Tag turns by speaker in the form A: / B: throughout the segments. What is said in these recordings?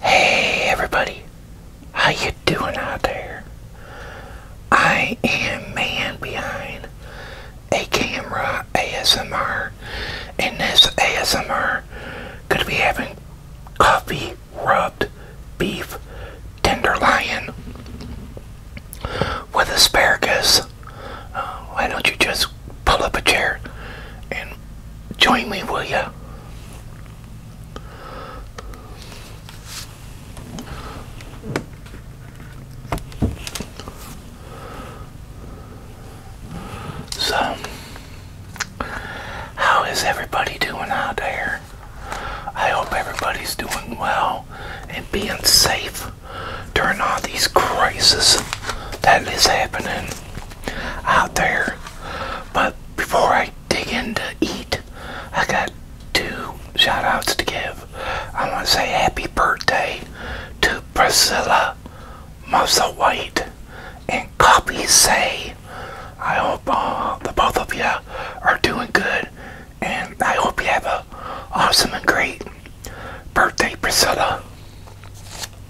A: Hey everybody, how you doing out there? I am man behind a camera ASMR. In this ASMR, could be having coffee rubbed beef tenderloin with asparagus. Uh, why don't you just pull up a chair and Join me, will you? So, how is everybody doing out there? I hope everybody's doing well and being safe during all these crises that is happening out there. But before I dig in to eat, I got two shout outs to give. I want to say happy birthday to Priscilla White, and Copy Say. I hope uh, the both of you are doing good and I hope you have a awesome and great birthday, Priscilla.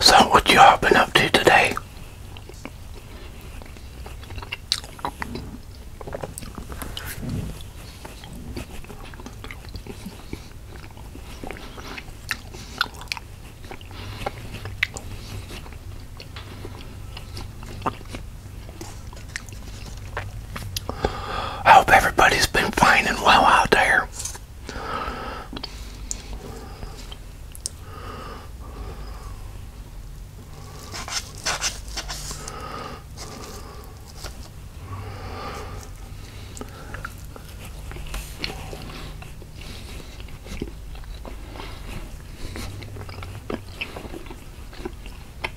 A: So, what y'all been up to today? I hope everybody's been fine and well out there.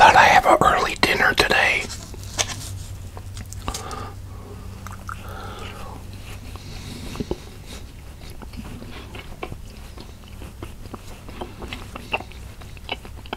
A: Thought I have an early dinner today.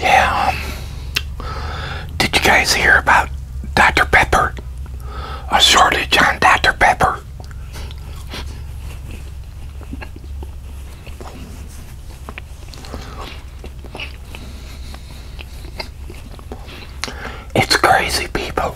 A: Yeah. did you guys hear about Dr. Pepper? A shortage on Dr. Pepper. It's crazy, people.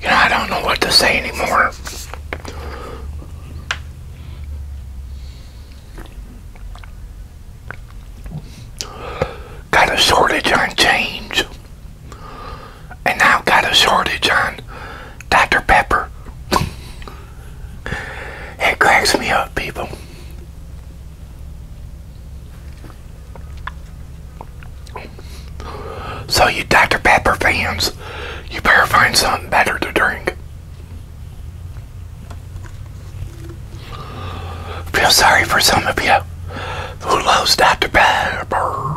A: You I don't know what to say anymore. Got a shortage on change, and now got a shortage on Dr. Pepper. it cracks me up, people. So you Dr. Pepper fans, you better find something better to drink. Feel sorry for some of you who loves Dr. Pepper.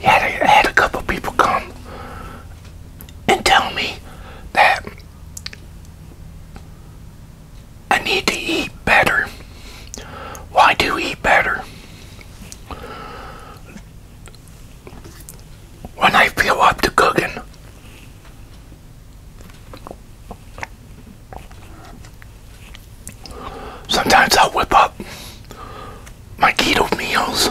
A: Yeah, they had a couple people come and tell me that I need to eat better. Why well, do eat better? when I feel up to cooking. Sometimes I'll whip up my keto meals.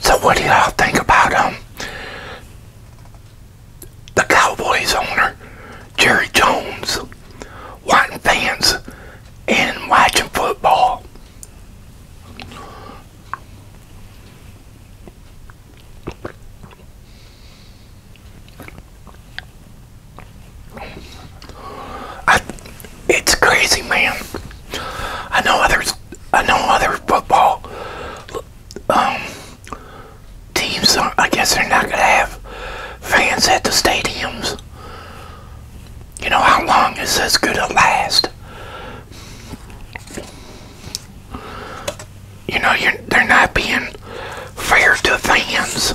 A: So what do y'all think about um the Cowboys owner, Jerry Jones, watching fans and watching football? it's crazy, man. I know others. I know other football um, teams. Are, I guess they're not gonna have fans at the stadiums. You know how long is this gonna last? You know, you they're not being fair to fans.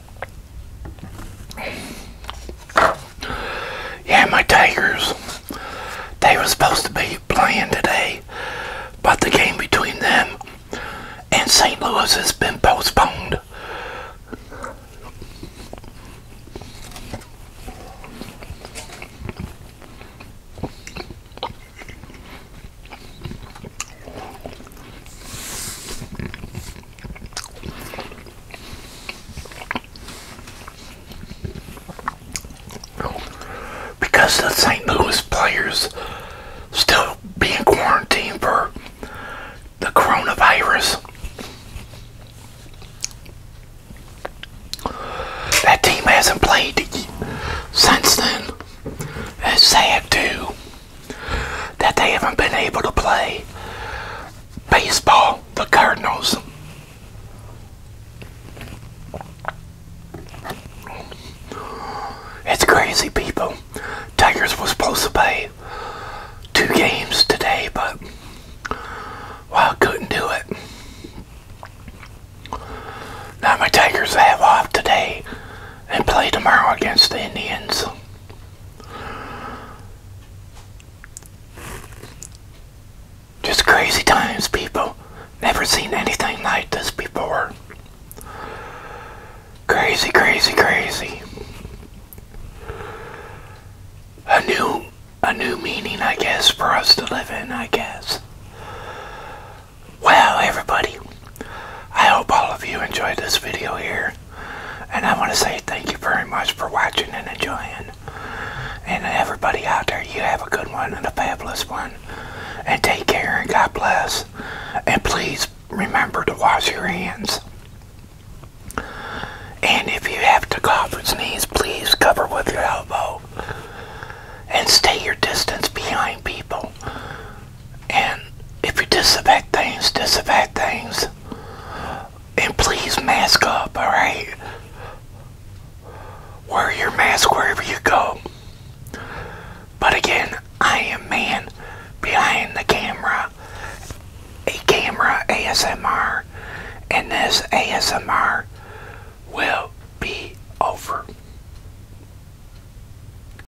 A: Yeah, my Tigers. They were supposed to be playing today, but the game between them and St. Louis has been postponed. Because the St. Louis players still being quarantined for the coronavirus. That team hasn't played since then. That's sad too that they haven't been able to play baseball, the Cardinals. It's crazy, people. Tigers was supposed to play two games today, but I couldn't do it. Now my Tigers have off today and play tomorrow against the Indians. Just crazy times, people. Never seen anything like this before. Crazy, crazy, crazy. A new, a new meaning, I guess, for us to live in, I guess. Wow, everybody. I hope all of you enjoyed this video here. And I want to say thank you very much for watching and enjoying. And everybody out there, you have a good one and a fabulous one. And take care and God bless. And please remember to wash your hands. And if you have to cough or sneeze, please cover with your elbow. And stay your distance behind people. And if you disinfect things, disinfect things. And please mask up, alright? Wear your mask wherever you go. But again, I am man behind the camera. A camera ASMR. And this ASMR will be over.